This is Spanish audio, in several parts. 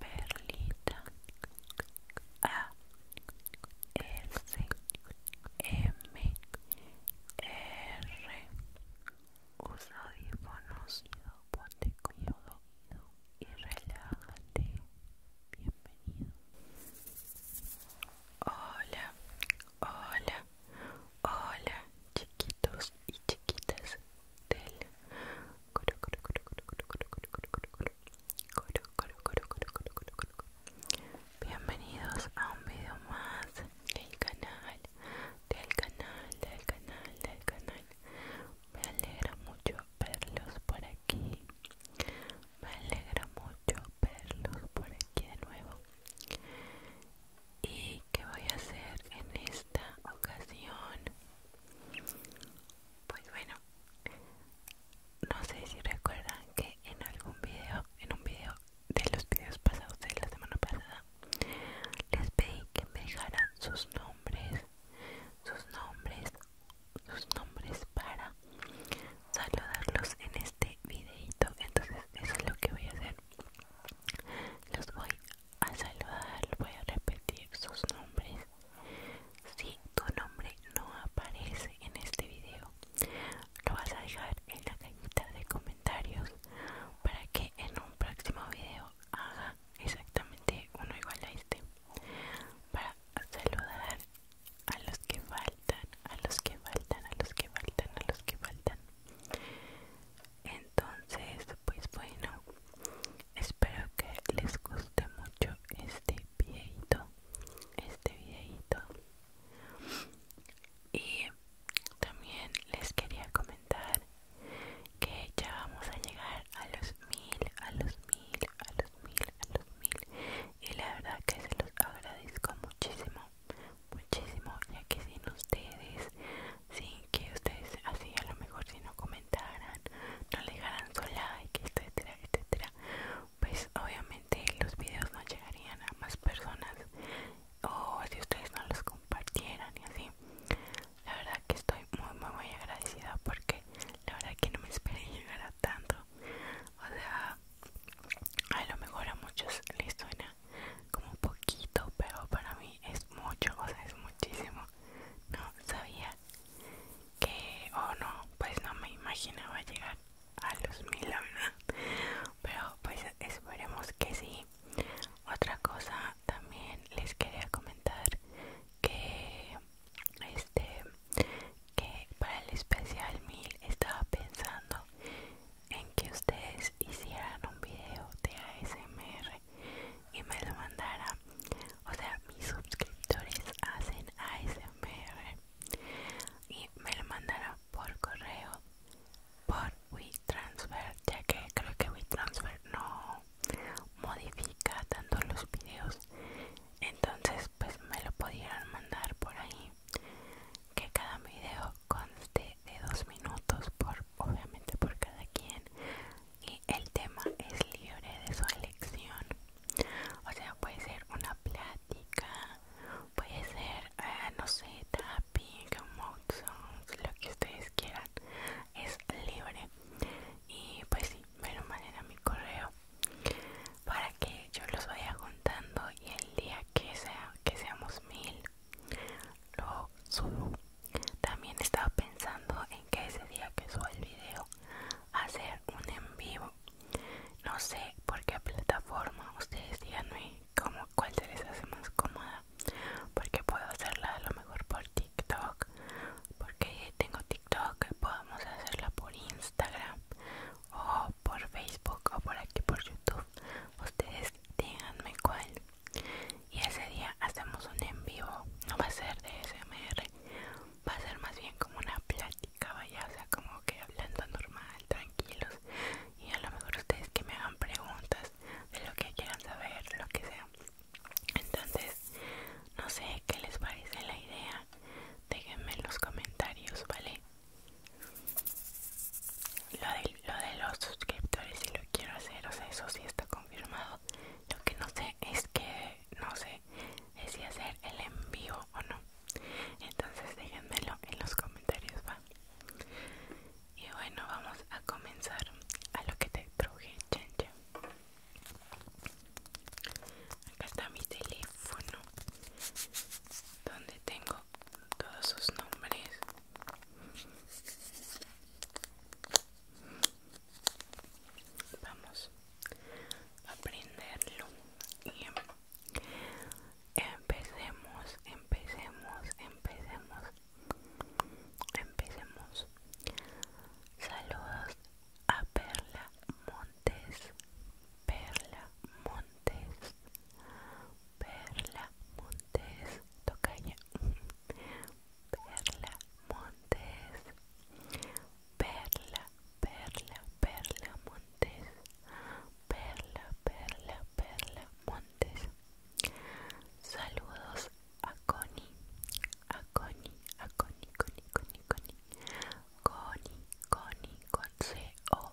Perlita A S M R Usa audífonos ponte cuidado y relájate. Bienvenido. Hola, hola, hola, chiquitos y chiquitas del Bienvenidos a un video más del canal, del canal, del canal, del canal. Me alegra mucho verlos por aquí. Me alegra mucho verlos por aquí de nuevo. Y ¿Qué voy a hacer en esta ocasión pues bueno no sé si recuerdan que en algún video en un video de los videos pasados de la semana pasada les pedí que me dejaran sus nombres sus nombres sus nombres para saludarlos en este videito entonces eso es lo que voy a hacer los voy a a saludar voy a repetir sus nombres si tu nombre no aparece en este video lo vas a dejar en la cajita de comentarios para que en un próximo video haga exactamente uno igual a este para saludar a los que faltan a los que faltan a los que faltan a los que faltan entonces pues bueno espero que les guste mucho este videito este videito y también les quería comentar que ya vamos a llegar a los mil a los mil a los mil a los mil y la verdad que se los agradezco muchísimo muchísimo ya que sin ustedes sí, que ustedes así a lo mejor si no comentaran, no le dejaran su like, etcétera, etcétera, pues obviamente los videos no llegarían a más personas o si ustedes no los compartieran y así. La verdad que estoy muy muy muy agradecida porque la verdad que no me esperé llegar a tanto. O sea, a lo mejor a muchos les suena como poquito pero para mí es mucho o sea es muchísimo no sabía que o no pues no me imaginaba llegar a los mil verdad pero pues esperemos que sí otra cosa también les quería comentar que este que para el especial mil estaba pensando en que ustedes hicieran un video de ASMR y me lo mandara O sea, mis suscriptores hacen ASMR y me lo mandara por correo, por WeTransfer, ya que creo que WeTransfer no modifica tanto los videos. Entonces, pues me lo pudieran mandar por ahí. Que cada video conste de dos minutos por obviamente por cada quien y el tema es libre de su elección o sea puede ser una plática puede ser ah, no sé tapping mouth lo que ustedes quieran es libre y pues sí me lo manden a mi correo para que yo los vaya contando y el día que sea que seamos mil lo subo también estaba pensando en que ese día que suba el video hacer un en vivo no sé por qué plataforma ustedes díganme como cuál se les hace más cómoda porque puedo hacerla a lo mejor por TikTok porque tengo TikTok podemos hacerla por Instagram o por Facebook o por aquí por YouTube ustedes díganme cuál y ese día hacemos un en vivo no va a ser de smr va a ser más bien como una plática vaya o sea como que hablando normal tranquilos y a lo mejor ustedes que me hagan preguntas de lo que quieran saber lo que sea entonces no sé qué les parece la idea déjenme en los comentarios vale lo de, los suscriptores si lo quiero hacer, o sea, eso sí está confirmado. Lo que no sé es que no sé es si hacer el envío o no. Entonces déjenmelo en los comentarios, va. Y bueno, vamos a comenzar a lo que te truje, chenche. Acá está mi teléfono donde tengo todos sus nombres vamos a aprenderlo em, empecemos empecemos empecemos empecemos saludos a Perla Montes Perla Montes Perla Montes Tocaña Perla Montes Perla Perla Perla Montes Perla Perla Perla Montes Saludos a Connie a coni a coni Connie Connie coni Connie Connie con C O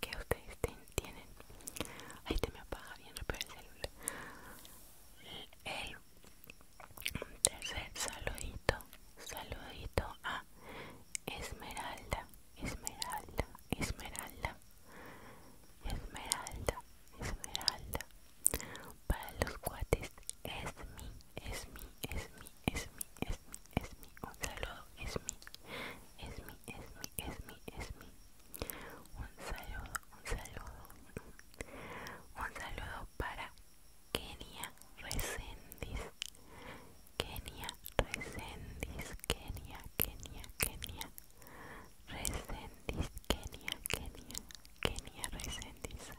que ustedes tienen ahí te me apaga bien rápido el celular el tercer saludito saludito a Esmeralda Esmeralda Esmeralda Esmeralda Esmeralda para los cuates es mi es mi es mi es mi es mi es mi un saludo es mi es mi, es mi, es mi, es mi. Un saludo, un saludo. Un saludo para Kenia Resendis Kenia Resendis Kenia, Kenia, Kenia. Resendiz, Kenia, Kenia, Kenia Resendis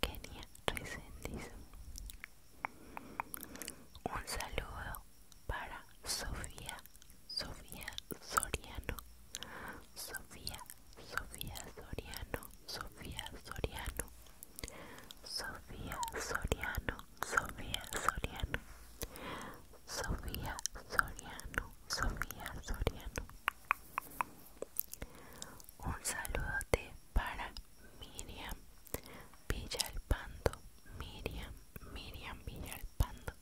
Kenia Resendis Un saludo para Sofía, Sofía Soriano, Sofía, Sofía Soriano, Sofía Soriano, Sofía Soriano, Sofía Soriano, Sofía Soriano, Sofía Soriano. Un saludo para Miriam, pando, Miriam, Miriam pando,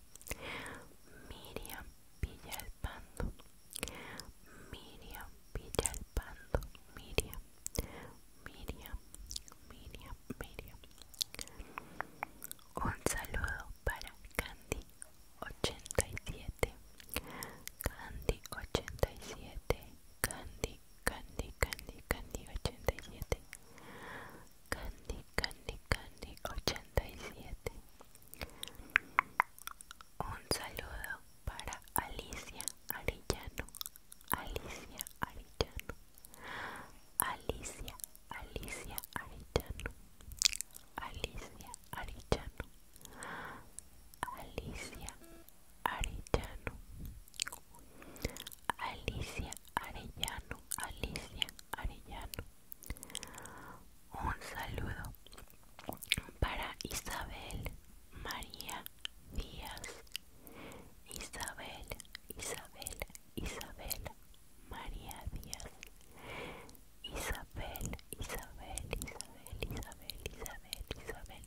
Miriam pando, Miriam Villalpando, Miriam, Miriam, Miriam, Miriam. Un saludo para Candy87, Candy87, Candy, Candy, Candy, Candy 87 Candy, Candy, Candy 87 Un saludo para Alicia Arillano Alicia Arillano Alicia, Alicia Arillano Alicia Arillano Alicia Arellano Alicia Arellano Alicia Arellano un saludo para Isabel María Díaz Isabel Isabel Isabel María Díaz Isabel Isabel Isabel Isabel Isabel Isabel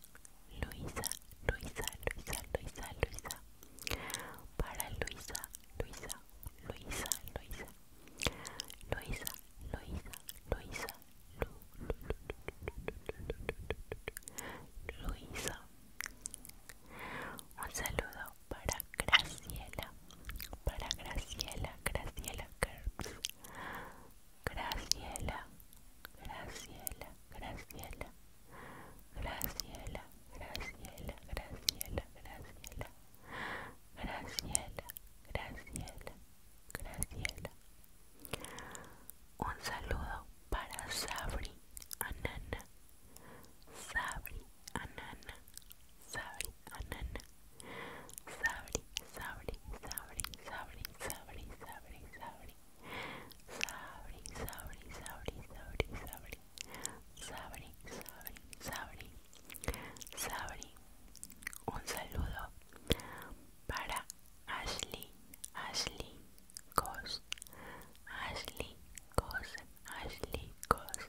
Luisa, Luisa, Luisa, Luisa, Luisa. Para Luisa, Luisa, Luisa, Luisa. Luisa, Luisa, Luisa, Luisa. Un saludo para Graciela, para Graciela, Graciela Graciela, Graciela, Graciela, Graciela, Graciela, Graciela, Graciela, Graciela, Graciela, Graciela. Un saludo para Sabri Anana, Sabri Anana, Sabri Anana, Sabri, Sabri, Sabri, Sabri, Sabri, Sabri, Sabri. Sabri, sabri, sabri, sabri, sabri. Sabri, sabri, sabri. Sabri. Un saludo para Ashley, Ashley Cos. Ashley Cos, Ashley Cos.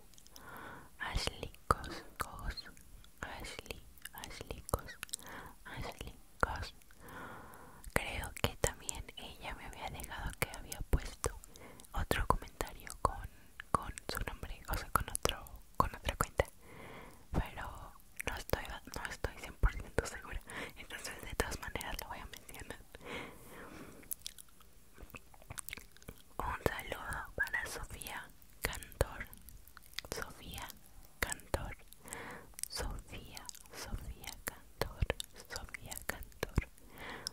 Ashley Ashley, Ashley Ashley Cos. Creo que también ella me había dejado que había puesto otro comentario con, con su nombre, o sea, con otro con otra cuenta. Pero no estoy no estoy 100% segura, entonces de todas maneras lo voy a mencionar. Un saludo para Sofía Cantor. Sofía Cantor, Sofía, Sofía Cantor, Sofía Cantor,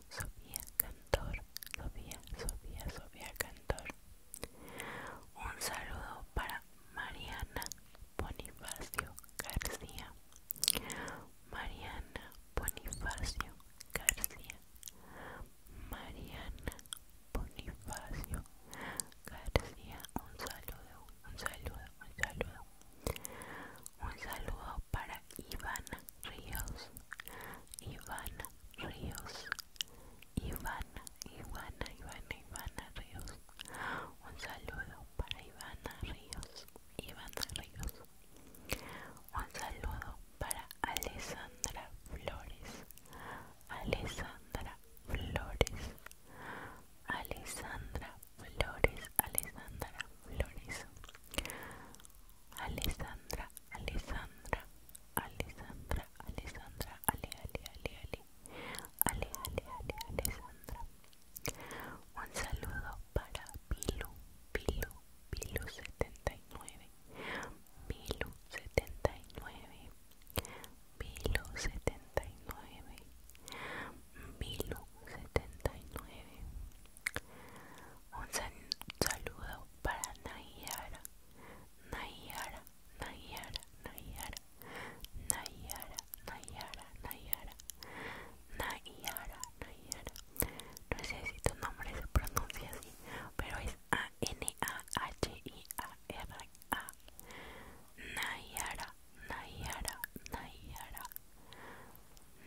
Sofía Cantor, Sofía, Sofía, Sofía Cantor. Un saludo para Mariana Bonifacio García. Mariana Bonifacio García. Mariana Bonifacio García. Un saludo un saludo, un saludo. Un saludo para Ivana Ríos. Ivana Ríos. Ivana, Ivana, Ivana, Ivana Ríos. Un saludo para Ivana Ríos. Ivana Ríos. Un saludo para Alessandra Flores. Alessandra Flores. Alessandra Flores, Alessandra Flores, Alessandra, Alessandra, Alessandra, Alessandra, Ale, Ale, Ale, Ale, Ale, Alessandra. Un saludo para Pilu, Pilu, Pilu 79, Pilu 79, Milo 79 Milo 79 Un saludo para Nayara Nayara, Nayara, Nayara Nayara, Nayara, Nayara Nayara, Nayara No sé si tu nombre se pronuncia así Pero es A-N-A-H-I-A-R-A Nayara, Nayara, Nayara,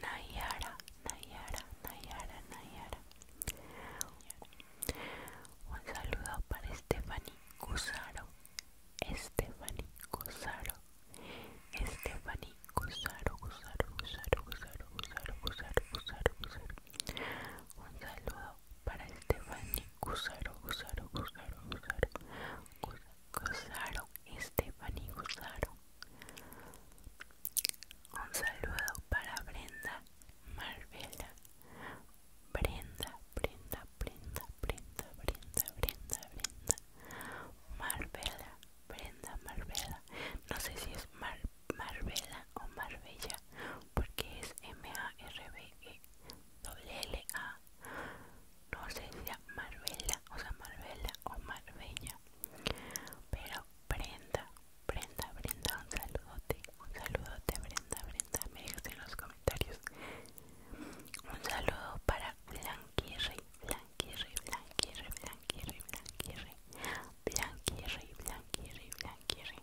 Nayara, Nayara, Nayara, Nayara. Un saludo para Stephanie Cusaro, Stephanie Cusaro, Stephanie Cusaro, Cusaro, Cusaro, Cusaro, Cusaro, Cusaro, Cusaro, Cusaro. Un saludo para Estefani, Gusaro, Gusaro, Gusaro, Gusaro, Gusaro, Estefani, Gusaro. Un saludo para Brenda Marbella. Brenda, Brenda, Brenda, Brenda, Brenda, Brenda, Brenda. Marbella. Brenda Marbella. No sé si es Marbella o Marbella, porque es M-A-R-B-E. LA, no sé si sea Marbella o sea Marbella o Marbella pero Brenda Brenda Brenda un saludote un saludote Brenda Brenda me dejas en los comentarios un saludo para Blanquiri, Blanquiri, Blanquiri, Blanquirri Blanquirri Blanquirri Blanquirri Blanquirri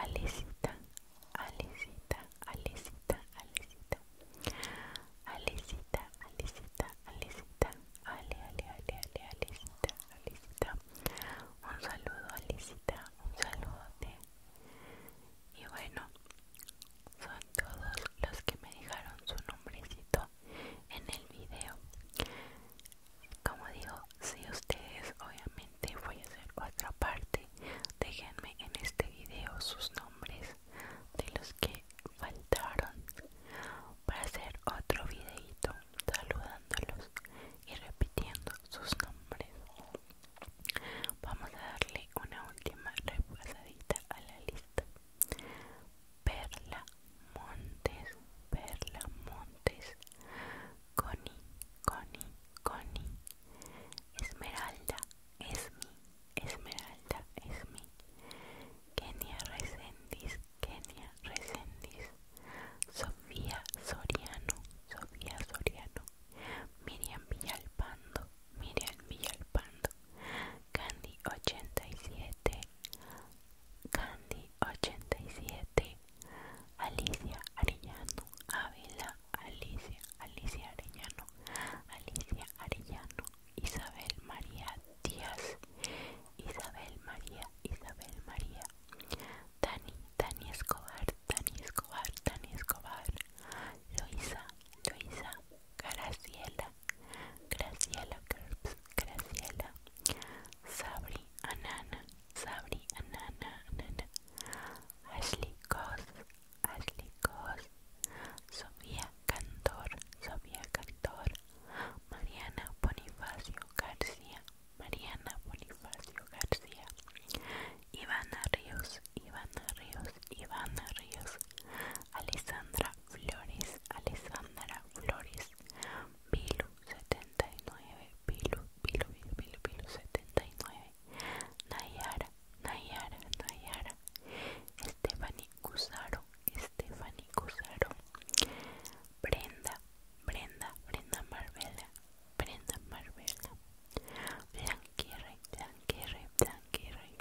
Alicita, Alicita, Alicita, Alicita, Alicita, Alicita, Alicita, Ale, Ale, Ale, Ale, Alicita, Alicita. Un saludo, alicita, un saludote. Y bueno, son todos los que me dejaron su nombrecito en el video como digo si ustedes obviamente voy a hacer otra parte déjenme en este video sus nombres de los que faltaron para hacer otro videito saludándolos y repitiendo sus nombres vamos a darle una última repasadita a la lista Perla Montes Perla Montes Connie, Connie, Connie. Esmeralda, es mi, Esmeralda, es mi. Kenia Resendiz, Kenia Resendiz. Sofía Soriano, Sofía Soriano. Miriam Villalpando, Miriam Villalpando. Candy 87, Candy 87 Alicia Arellano Ávila Alicia Alicia Arellano Alicia Arellano Isabel María Díaz Isabel María Isabel María Dani Dani Escobar Dani Escobar Dani Escobar Luisa Luisa Graciela Graciela Kerbs Graciela, Sabri, Anana, Sabri, Anana, Anana, Ashley Cos, Ashley Cos, Sofía Cantor, Sofía Cantor, Mariana Bonifacio García, Mariana Bonifacio García, Ivana Ríos, Ivana Ríos, Ivana Ríos, Alessandra Flores, Alessandra Flores, Pilu 79 Pilu, Pilu, Pilu, Pilu, 79 Nayara, Nayara, Nayara Estefany Cusaro, Estefany Cusaro Brenda, Brenda, Brenda Marbella Brenda Marbella Blanquierre, Blanquierre, Blanquierre,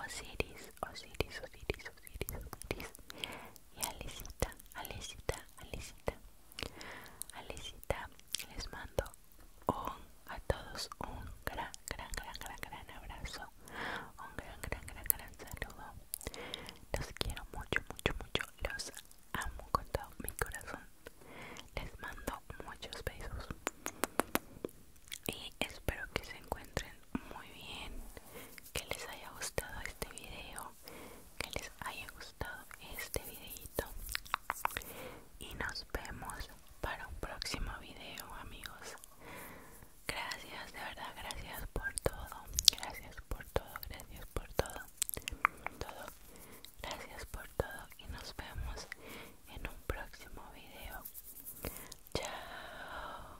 Osiris, Osiris, Osiris, Osiris, Osiris Y Alecita, Alicita, les mando a todos un gran, gran, gran, gran, abrazo, un gran, gran, gran, gran saludo. Los quiero mucho, mucho, mucho, los amo con todo mi corazón. Les mando muchos besos y espero que se encuentren muy bien que les haya gustado este video que les haya gustado este videito y nos vemos para un próximo video amigos gracias de verdad gracias por todo gracias por todo gracias por todo gracias por todo y nos vemos en un próximo video chao